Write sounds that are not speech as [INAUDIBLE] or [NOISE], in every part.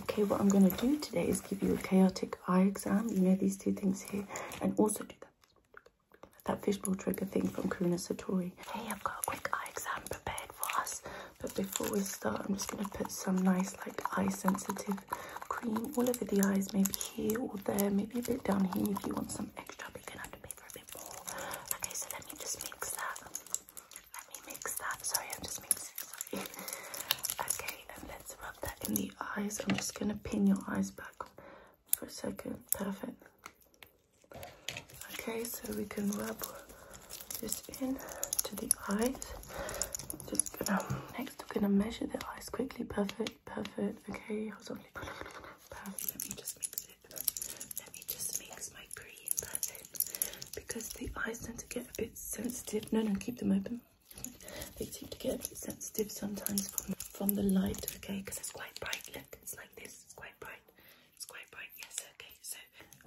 Okay, what I'm going to do today is give you a chaotic eye exam. You know these two things here. And also do that, that fishbowl trigger thing from Karuna Satori. Hey, I've got a quick eye exam prepared for us. But before we start, I'm just going to put some nice, like, eye-sensitive cream all over the eyes. Maybe here or there. Maybe a bit down here if you want some extra. But you're have to pay for a bit more. Okay, so let me just mix that. Let me mix that. Sorry, I'm just mixing. Sorry. [LAUGHS] okay, and let's rub that in the eyes. I'm just gonna pin your eyes back for a second. Perfect. Okay, so we can rub this in to the eyes. Just gonna next we're gonna measure the eyes quickly. Perfect, perfect. Okay, Perfect. Let me just mix it. Let me just mix my my Because the eyes tend to get a bit sensitive. No, no, keep them open. They seem to get a bit sensitive sometimes from, from the light, okay? Because it's quite bright. Look, it's like this. It's quite bright. It's quite bright. Yes, okay. So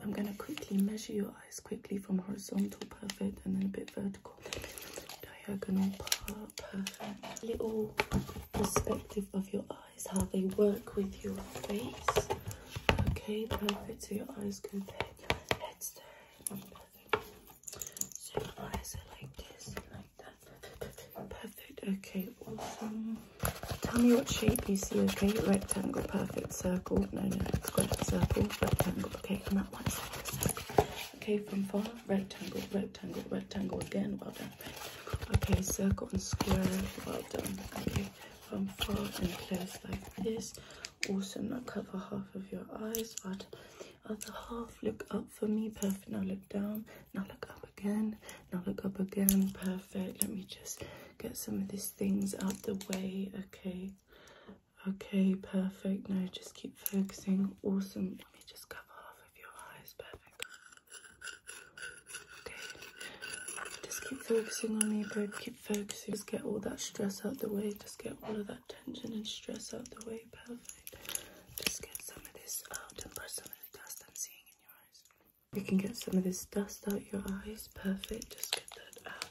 I'm going to quickly measure your eyes quickly from horizontal, perfect, and then a bit vertical, diagonal, perfect. Little perspective of your eyes, how they work with your face. Okay, perfect. So your eyes go back, your head's So your eyes are like this like that. Perfect. Okay, awesome. Tell me what shape you see, okay? Rectangle, perfect. Circle. No, no, it's not a circle, rectangle. Okay, come that one's Okay, from far, rectangle, rectangle, rectangle again. Well done. Okay, circle and square. Well done. Okay from far and close like this. Also not cover half of your eyes, but other half. Look up for me, perfect. Now look down, now look up again, now look up again, perfect. Let me just get some of these things out the way, okay? Okay, perfect. Now just keep focusing. Awesome. Let me just cover half of your eyes, perfect. Just keep focusing on me, babe. Keep focusing. Just get all that stress out the way. Just get all of that tension and stress out the way. Perfect. Just get some of this out and brush some of the dust I'm seeing in your eyes. You can get some of this dust out your eyes. Perfect. Just get that out.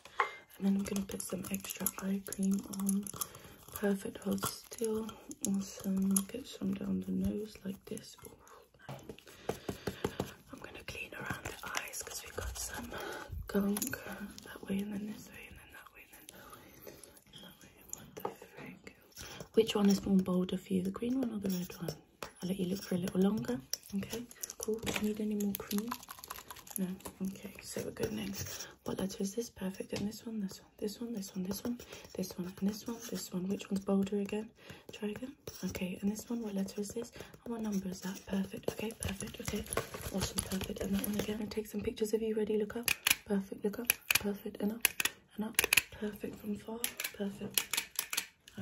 And then I'm going to put some extra eye cream on. Perfect. Hold still. Awesome. Get some down the nose like this. I'm gonna clean around the eyes because we've got some gunk uh, that way and then this way and then that way and then that way and then that way. What the frick? Which one is more bolder for you, the green one or the red one? I'll let you look for a little longer. Okay, cool. Do you need any more cream? No. Okay, so we're good next. What letter is this? Perfect. And this one, this one, this one, this one, this one, this one, and this one, this one. Which one's bolder again? Try again. Okay, and this one, what letter is this? And what number is that? Perfect. Okay, perfect. Okay, awesome. Perfect. And that one again. I take some pictures of you. Ready? Look up. Perfect. Look up. Perfect. Enough. Enough. Perfect from far. Perfect. [SIGHS]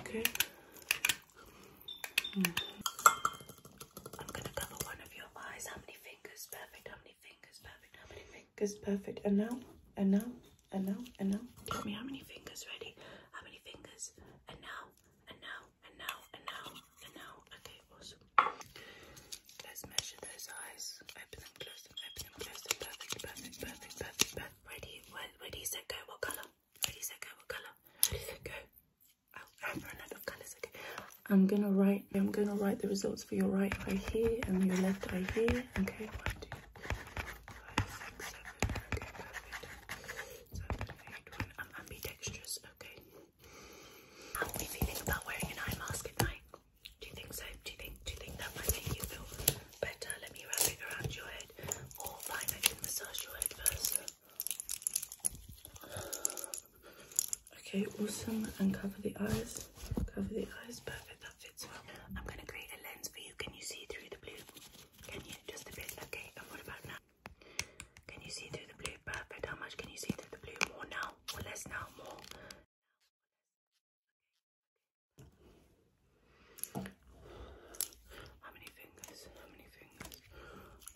okay. Hmm. I'm gonna cover one of your eyes. How many fingers? Perfect. How many fingers perfect? How many fingers perfect? And now, and now, and now, and now. Tell me how many fingers ready? How many fingers? And now, and now, and now, and now, and now. Okay, awesome. Let's measure those eyes. Open them, close them, open them, close them. Perfect, perfect, perfect, perfect, perfect. Ready, ready, set, go. What colour? Ready, set, go. What colour? go. Oh, I've run out of colours. Okay. I'm gonna write. I'm gonna write the results for your right eye here and your left eye here. Okay, one, two, five, six, seven. Okay, perfect. Seven, eight, one. I'm ambidextrous. Okay. How are we feeling about wearing an eye mask at night? Do you think so? Do you think? Do you think that might make you feel better? Let me wrap it around your head, or I can massage your head first. Okay, awesome. And cover the eyes. Cover the eyes, perfect, that fits well. I'm gonna create a lens for you. Can you see through the blue? Can you? Just a bit, okay. And what about now? Can you see through the blue? Perfect. How much can you see through the blue? More now less now? More. How many fingers? How many fingers?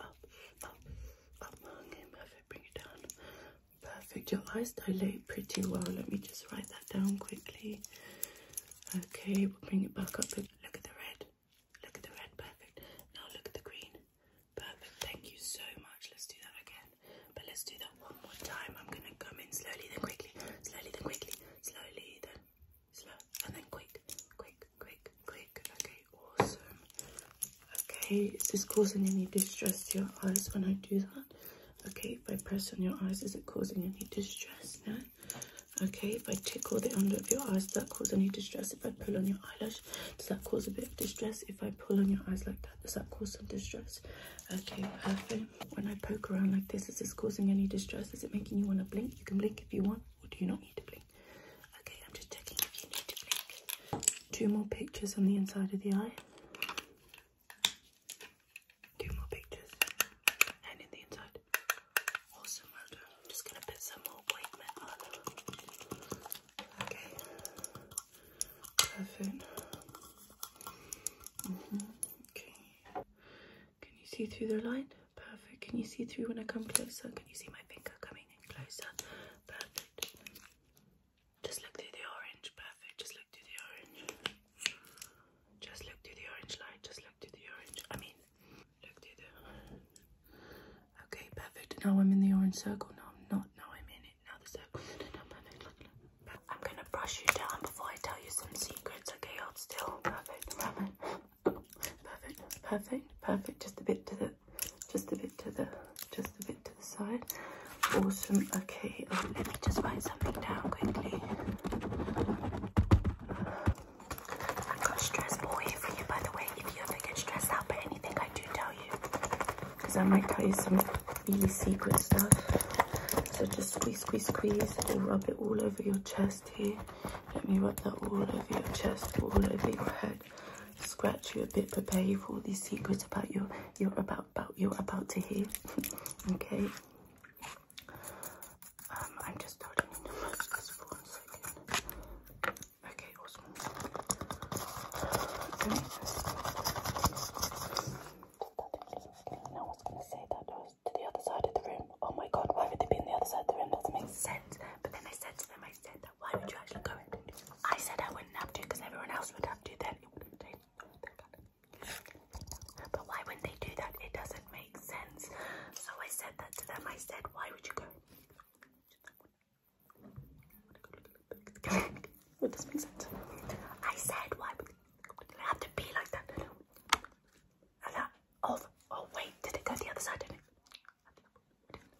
Up, up, up. perfect. Bring it down. Perfect. Your eyes dilate pretty well. Let me just write that down quickly. Okay, we'll bring it back up. Look at the red. Look at the red. Perfect. Now look at the green. Perfect. Thank you so much. Let's do that again. But let's do that one more time. I'm going to come in slowly, then quickly. Slowly, then quickly. Slowly, then slow. And then quick. Quick, quick, quick. Okay, awesome. Okay, is this causing any distress to your eyes when I do that? Okay, if I press on your eyes, is it causing any distress? No? Okay, if I tickle the under of your eyes, does that cause any distress? If I pull on your eyelash, does that cause a bit of distress? If I pull on your eyes like that, does that cause some distress? Okay, perfect. When I poke around like this, is this causing any distress? Is it making you want to blink? You can blink if you want, or do you not need to blink? Okay, I'm just checking if you need to blink. Two more pictures on the inside of the eye. Two more pictures. And in the inside. Awesome, I'm just gonna put some more white metal on. Okay. Perfect. Mm-hmm. Okay. Can you see through the line? Perfect. Can you see through when I come closer? Can you see my finger coming in closer? Perfect. Just look through the orange. Perfect. Just look through the orange. Just look through the orange light. Just look through the orange. I mean, look through the. Okay, perfect. Now I'm in the orange circle. No, I'm not. Now I'm in it. Now the circle. No, no, perfect. Look, look. I'm gonna brush you down before I tell you some secrets. Okay, hold still. Perfect. Perfect. Perfect. Perfect. Perfect. Just a bit to the just a bit to the just a bit to the side. Awesome. Okay, oh, let me just write something down quickly. i got stress ball here for you, by the way. If you ever get stressed out by anything, I do tell you, because I might tell you some really secret stuff. So just squeeze, squeeze, squeeze, and rub it all over your chest here. Let me rub that all over your chest, all over your head scratch you a bit, prepare you for these secrets about your you're about about you're about to hear. [LAUGHS] okay. Um, I'm just starting in the most Just for one second. Okay, awesome. Okay. I was gonna say that to the other side of the room. Oh my god, why would they be in the other side of the room? That doesn't make sense. But then I said to them, I. I said that. Why would you actually go I said I wouldn't have to because everyone else would have to. Then But why would they do that? It doesn't make sense. So I said that to them. I said, why would you go? Would this make sense? I said, why would I have to be like that? oh, wait, did it go the other side? Did it?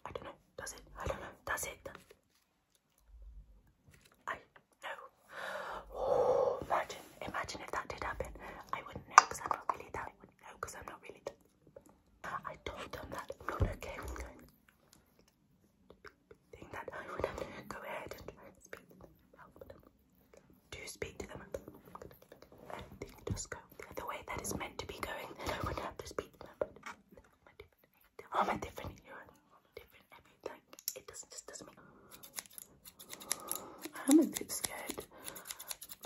I don't know. Does it? I don't know. Does it? I know. Oh, imagine, imagine if that did happen. I wouldn't know because I'm not really that. I wouldn't know because I'm not really that. I told them that I'm not okay with going. Think that I would have to go ahead and try and speak to them, help them. Do speak to them. I think just go the way that is meant to be going. Then I would have to speak. How oh, am I different here? How oh, am I different everything? It doesn't just doesn't make I'm a bit scared,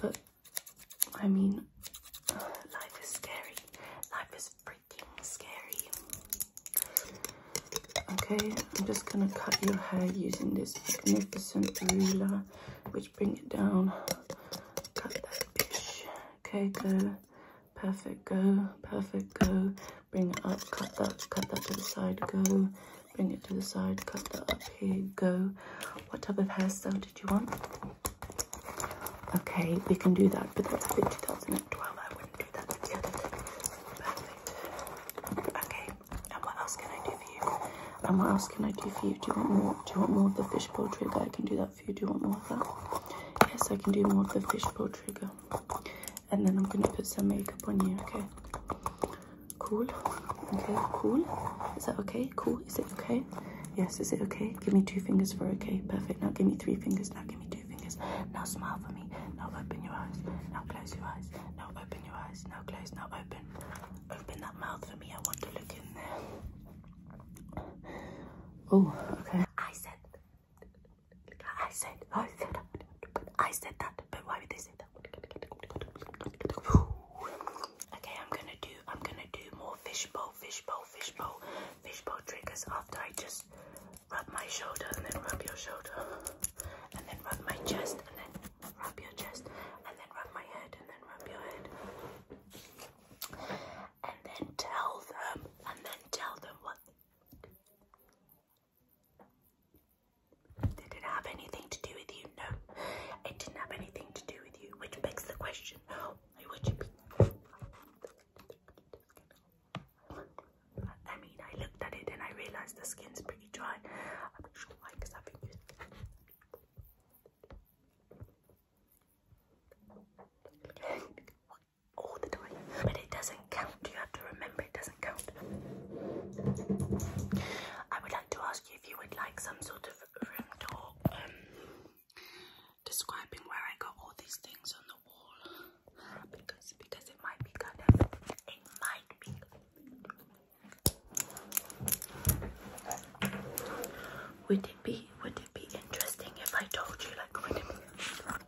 but I mean, life is scary. Life is freaking scary. Okay, I'm just gonna cut your hair using this magnificent ruler, which bring it down Cut that bitch. Okay, go. Perfect, go. Perfect, go. Bring it up, cut that, cut that to the side, go. Bring it to the side, cut that up here, go. What type of hairstyle did you want? Okay, we can do that, but that's in 2012. I wouldn't do that. Perfect. Okay, and what else can I do for you? And what else oh, can I do for you? Do you want more? Do you want more of the fishbowl trigger? I can do that for you. Do you want more of that? Yes, I can do more of the fishbowl trigger. And then I'm gonna put some makeup on you, okay? Cool. Okay, cool. Is that okay? Cool. Is it okay? Yes, is it okay? Give me two fingers for okay. Perfect. Now give me three fingers. Now give me two fingers. Now smile for me. Now open your eyes. Now close your eyes. Now open your eyes. Now close. Now open. Open that mouth for me. I want to look in there. Oh, okay. I said. I said. I said. I said that. But why would they say that? Okay, I'm gonna do. I'm gonna do more fishbowl, fishbowl, fishbowl, fishbowl triggers after I just rub my shoulder and then rub your shoulder and then rub my chest and then rub your chest, and then rub my head, and then rub your head. And then tell them, and then tell them what. Did it have anything to do with you? No, it didn't have anything to do with you, which begs the question why would you be? I mean, I looked at it and I realized the skin's pretty dry. I'm not sure why, I've been using but it doesn't count. You have to remember it doesn't count. I would like to ask you if you would like some sort of room tour um, describing where I got all these things on the wall because because it might be kind of it might be would it be would it be interesting if I told you like would it be interesting?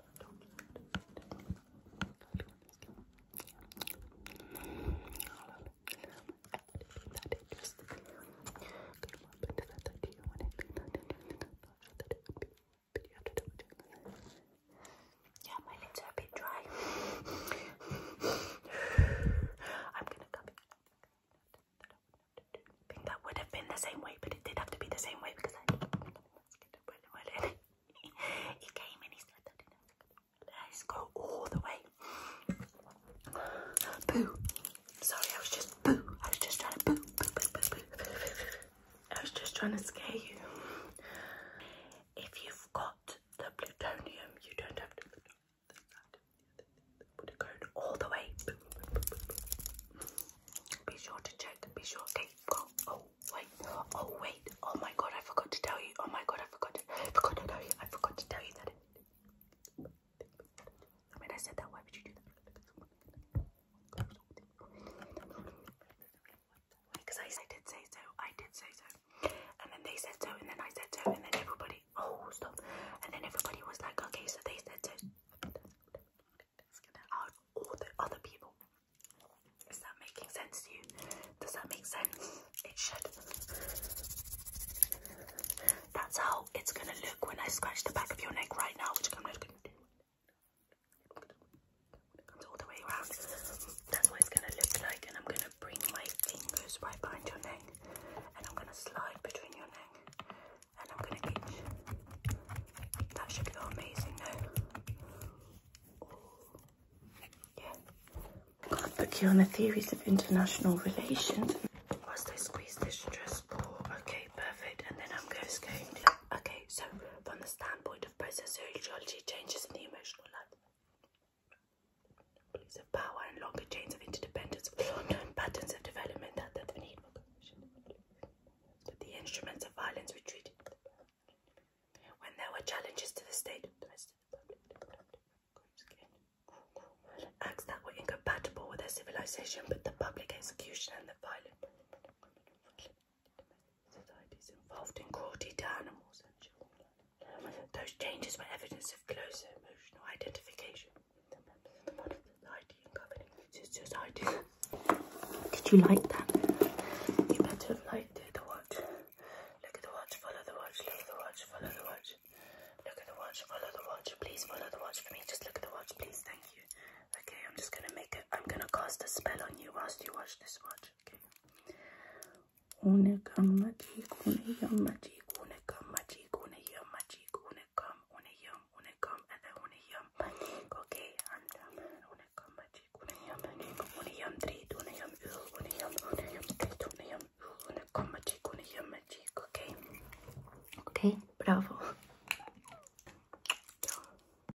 Yeah, my lips are a bit dry. I'm gonna come in. I think that would have been the same way, but it did have to be the same way because I [LAUGHS] he came and he said that let's go all the way. Boo! Sorry, I was just boo. I was just trying to boo, boo, boo, boo, boo. I was just trying to scare you. If you've got the plutonium, you don't have to put a all the way. Be sure to check, be sure, okay, oh, wait, oh, wait, oh my god, I forgot to tell you, oh my god, I forgot forgot to tell you, I forgot to tell you that I mean, I said that, why would you do that? Because I, did say so, I did say so. And then they said so, and then I said so, and then everybody, oh, stop. And then everybody was like, okay, so they said so. Out all the other people. Is that making sense to you? Does that make sense? It should. That's how it's gonna look when I scratch the back of your neck right now, which I'm not gonna do that's what it's gonna look like. And I'm gonna bring my fingers right behind your neck, and I'm gonna slide between your neck, and I'm gonna itch. That should go amazing, no? Yeah. I can't book you on the theories of international relations. Whilst I squeeze this stress ball, okay, perfect. And then I'm going to, okay, so from the standpoint of process geology, changes in the emotional life. Police of power and longer chains of interdependence patterns of development that, that the But the instruments of violence retreated when there were challenges to the state acts that were incompatible with their civilization, but the public execution and the violence societies involved in cruelty to animals Those changes were evidence of closer emotional identification Did you like that? You better have Look at the watch, follow the watch, leave the watch, follow the watch. Look at the watch, follow the watch. Please follow the watch for me. Just look at the watch, please. Thank you. Okay, I'm just gonna make it. I'm gonna cast a spell on you whilst you watch this watch. Unekam magic, uneyam magic, unekam magic, uneyam magic, unekam, uneyam, unekam, and then uneyam magic, okay? And um, unekam magic, uneyam magic, uneyam treat, uneyam ul, uneyam, uneyam treat, uneyam ul, unekam magic, uneyam magic, okay? Okay, bravo.